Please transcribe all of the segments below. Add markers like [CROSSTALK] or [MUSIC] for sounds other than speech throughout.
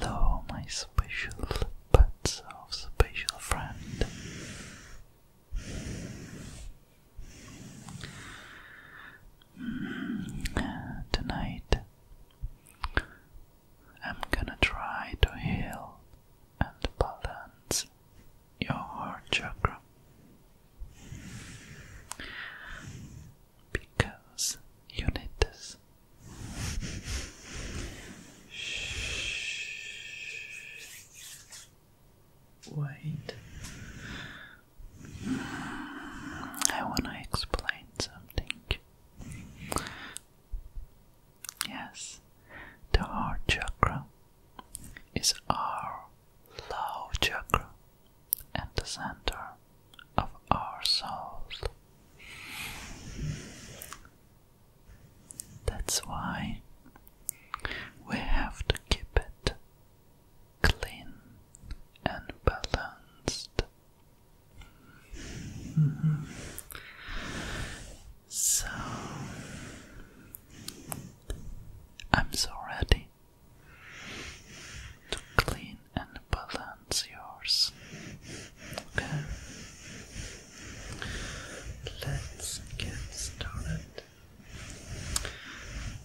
Hello, my special pets special friend. Mm, tonight I'm gonna try to heal and balance your heart chakra because you need this. Wait, I want to explain something. Yes, the heart chakra is our love chakra and the center of our soul. That's why we have to keep it clean and balanced so I'm so ready to clean and balance yours. Okay. Let's get started.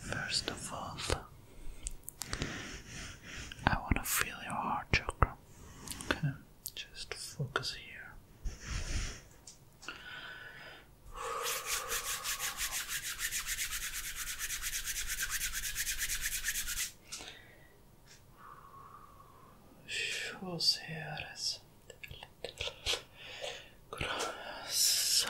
First of all, I want to feel your heart chakra. Okay, just focus here. Så ser det ut. Så.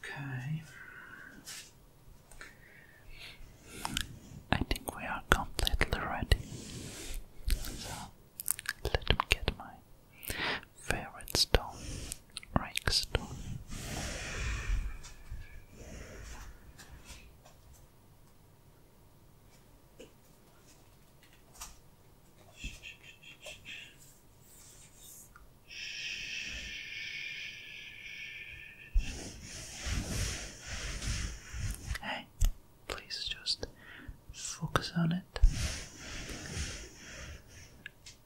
Okay. I think we are completely ready. So let me get my favorite stone, Hey, please just focus on it.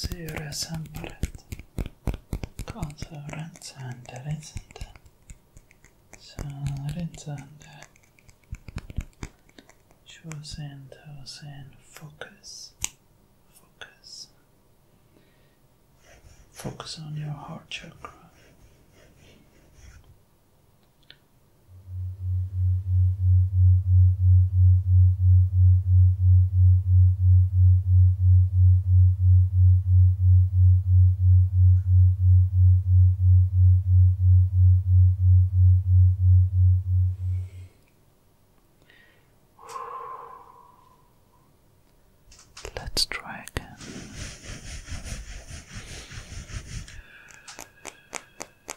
syresambalet konsurentsändelitsintä saarintsändel Chosen thousand focus focus focus on your heart chakra Let's try again.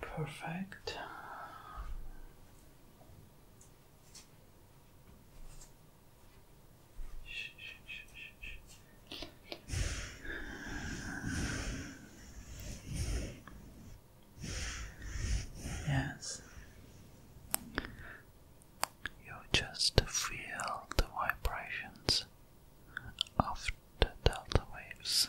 Perfect. Yes, you just feel the vibrations of the delta waves.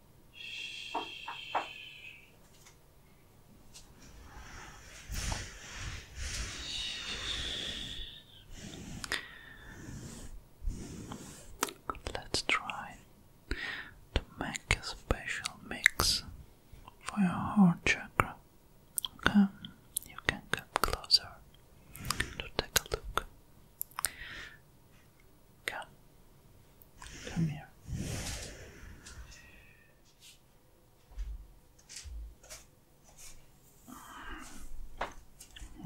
Let's try to make a special mix for your heart chakra. Okay, you can come closer to take a look. Come. Come here.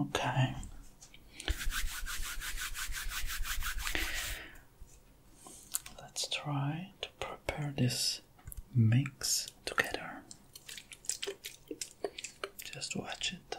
Okay. Let's try to prepare this mix together. Just watch it.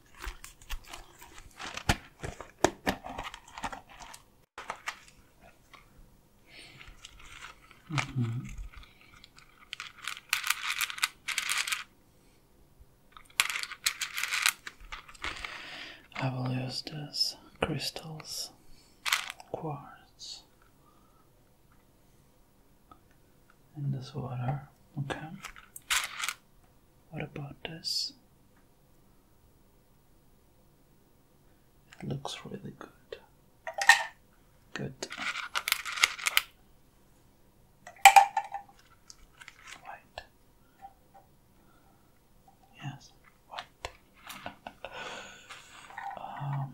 Mm-hmm. I will use these crystals, quartz, in this water. Okay, what about this? It looks really good. Good. White. Yes, white. um,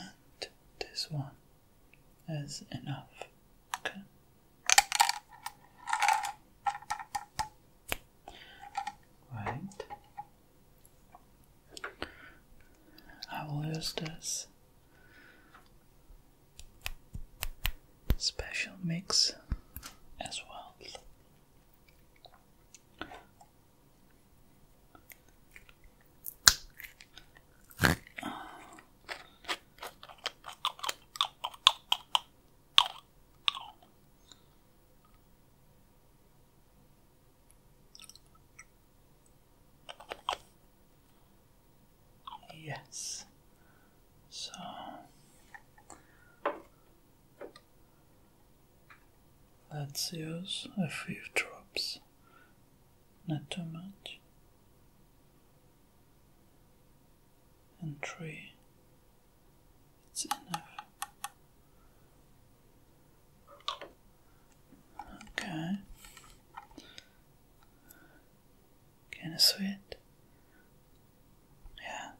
And this one is enough. Okay. Right. I will use this special mix as well. Yes. So let's use a few drops not too much, and three, it's enough. Okay, can I sweat? Yeah.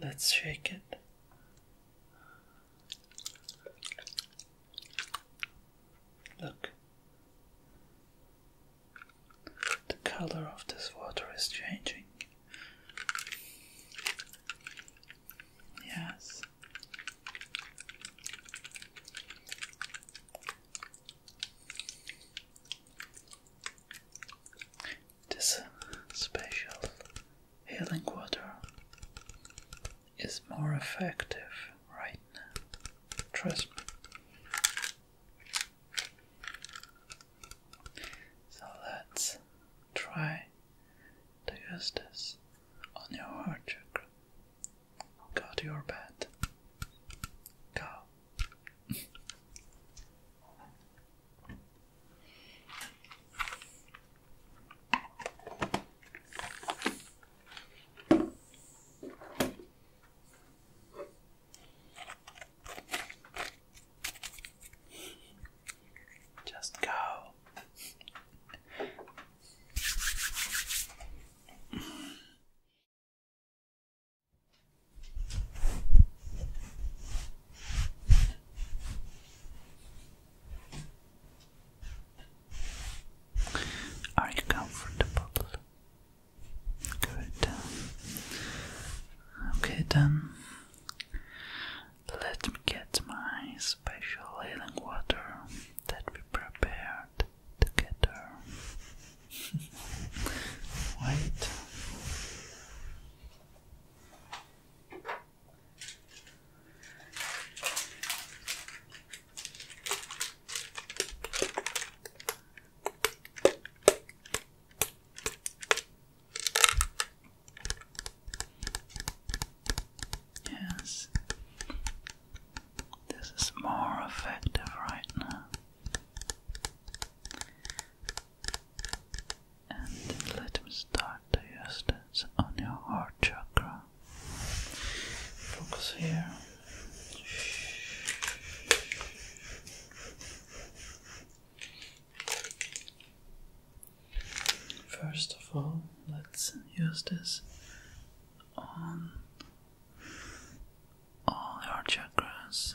Let's shake it. Look, the color of this water is changing. Yes, this special healing water is more effective right now. Trust me. So let's try to use this on your heart chakra. Go to your bed. Go. Just go. Are you comfortable? Good. Okay, then let me get my special healing water that we prepared together. White. Yes, this is more effective right now. And let me start to use this on your heart chakra. Focus here. First of all, let's use this on all your chakras.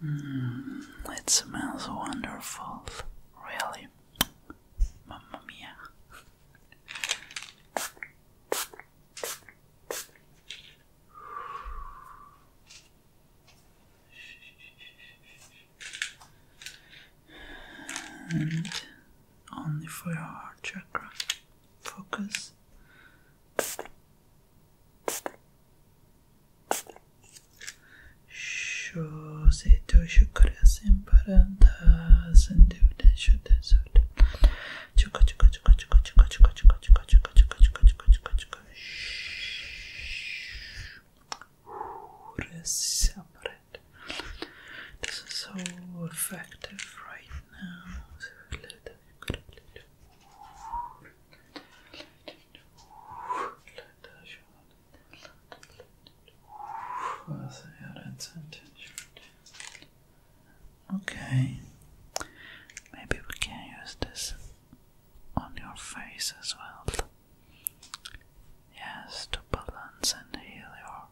Hmm, it smells wonderful, really. Mamma mia. And only for your heart chakra. Focus. Shoze dojo coração para andar, sanduda, chuta, chuta. Chuka, chuka, chuka, chuka, chuka, chuka, chuka, chuka, chuka, chuka, chuka, chuka, chuka, chuka. Shhh. Respira. This is so effective right now. Okay, maybe we can use this on your face as well. Yes, to balance and heal your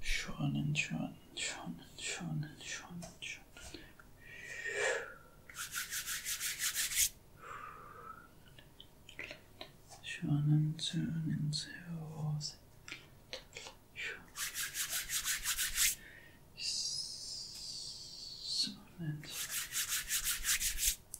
Sean and Sean, Sean and Sean and Sean and Sean. Sean and Sean and Sean. Sean and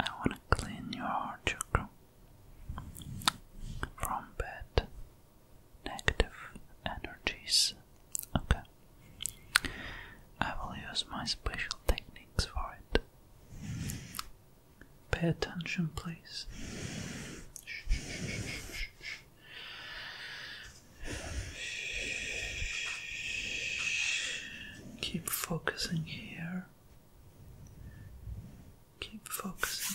I want to clean your chakra from bad negative energies. Okay. I will use my special techniques for it. Pay attention, please. Keep focusing here. Keep focusing.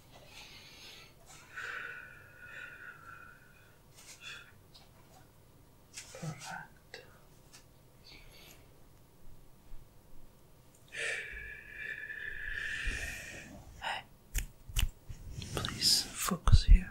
Perfect. please focus here.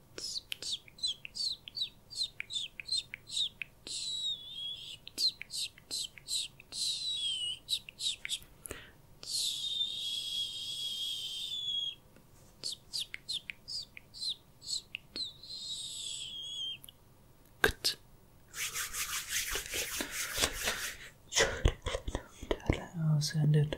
Good. That was ended.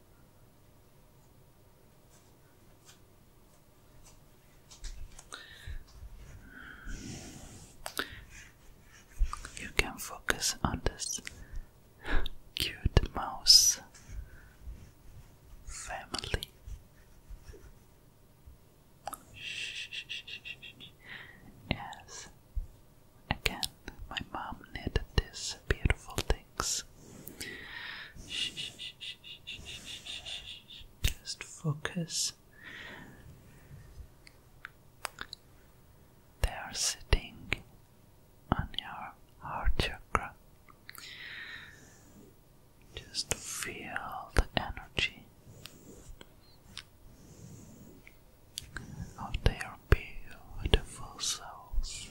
You can focus on this cute mouse family. Yes, again, my mom knit these beautiful things. Just focus. They are sitting on your heart chakra. Just feel the energy of their beautiful souls.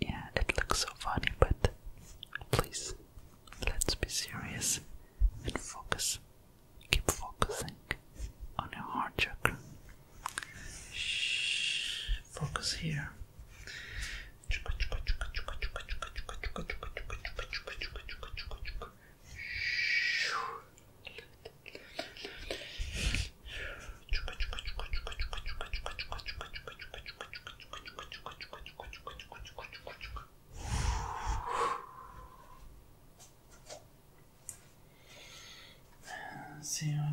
yeah, it looks so funny, but please, let's be serious and focus. Keep focusing on your heart chakra. Shh, focus here. Se on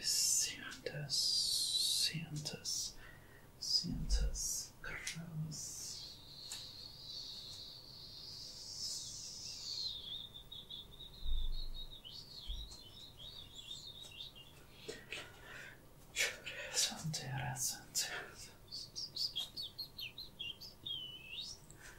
Santas, Santas, Santas Claus. Santa, Santa,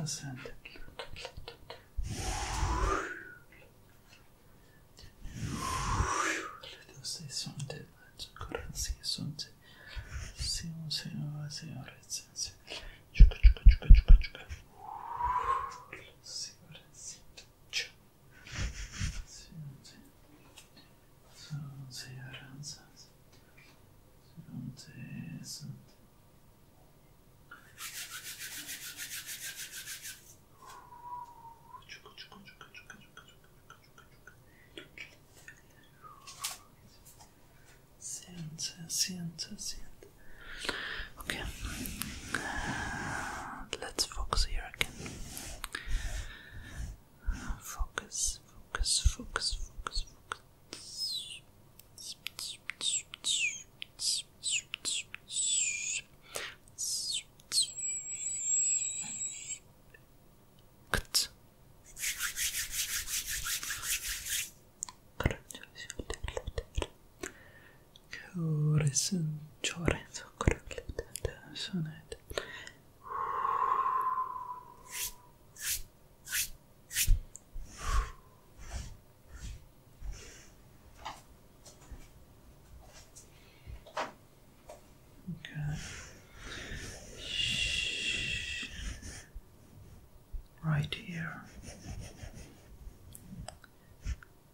Listen. Lidosy sądy, koracje sądy. Siłą, siłą, siłą, recenzja. Czeka, czeka, czeka, czeka, czeka. Siłą, recenzja. Siente, siente, siente. Okay, let's focus here. Focus, focus, focus, focus, focus. Corazón Chorenzo Sonet Okay. Shh. Right here.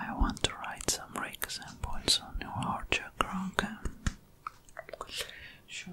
I want to write some rakes and points on your heart chakra, okay? Sure,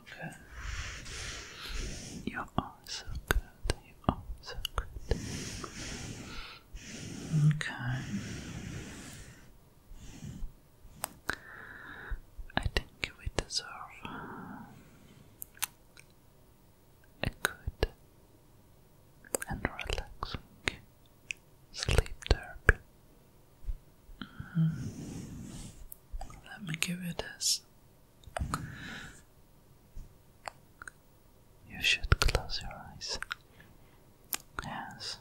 Okay. You are so good. You are so good. Okay. I think we deserve a good and relaxing sleep therapy. Mm-hmm. Let me give you this. You should close your eyes Yes.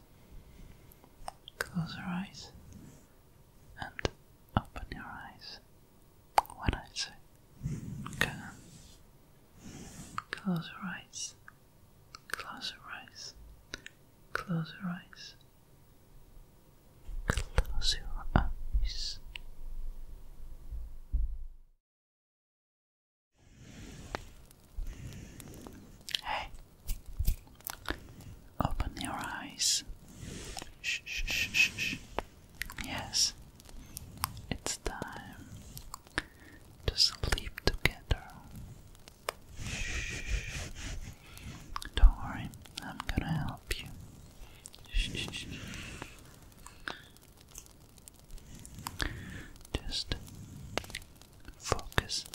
Close your eyes and open your eyes when I say go. Close your eyes. Close your eyes. Close your eyes. Close your eyes. Hey, Open your eyes. Shh, shh, shh, shh, Yes, it's time to sleep together. Don't worry, I'm gonna help you. Just focus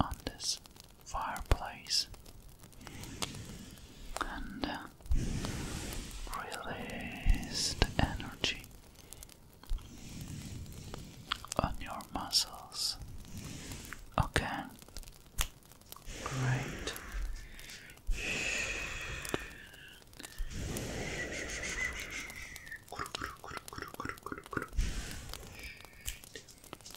on this fireplace and uh, release the energy on your muscles. Okay, great.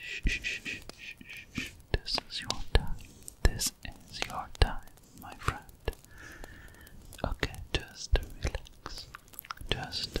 Shh, shh, shh, shh, shh, This is your time. This is your time, my friend. Okay, just relax. Just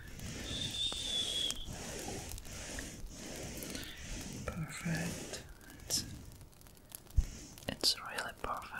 Perfect. It's, really perfect.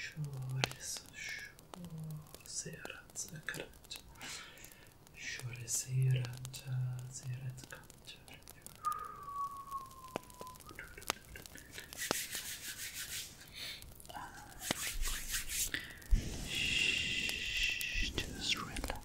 شو رس شو سيرت سكرت شو رسيرت سيرت كتر Just relax.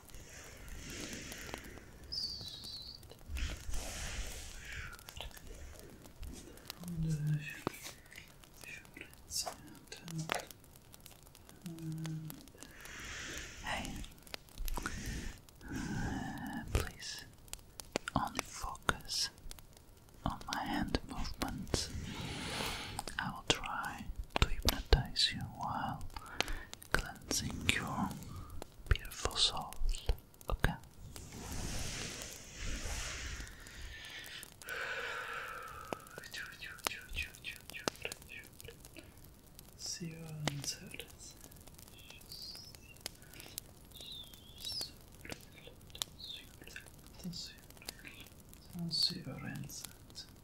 Around hey, please only focus on my hand movements i now try to hypnotize you while cleansing your beautiful soul. Okay.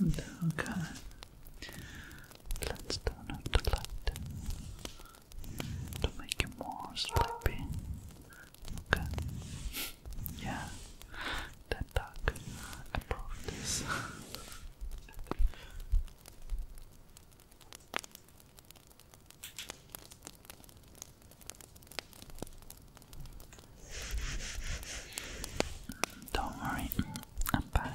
And okay, let's turn up the light to make you more sleepy. Okay, yeah, that dark. I brought this. [LAUGHS] Don't worry, I'm back.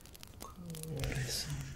Horizontal. Horizontal.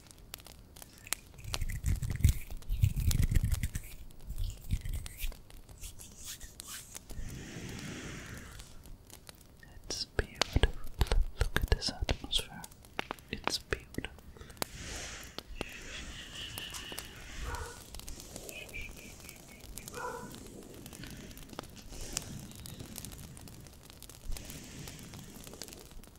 It's beautiful. Look at this atmosphere. It's beautiful.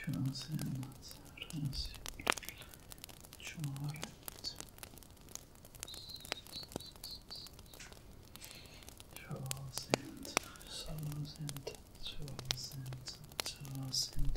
köret Tvåsint, såsint, tvåsint, tvåsint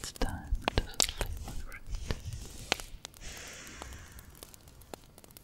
It's time to sleep.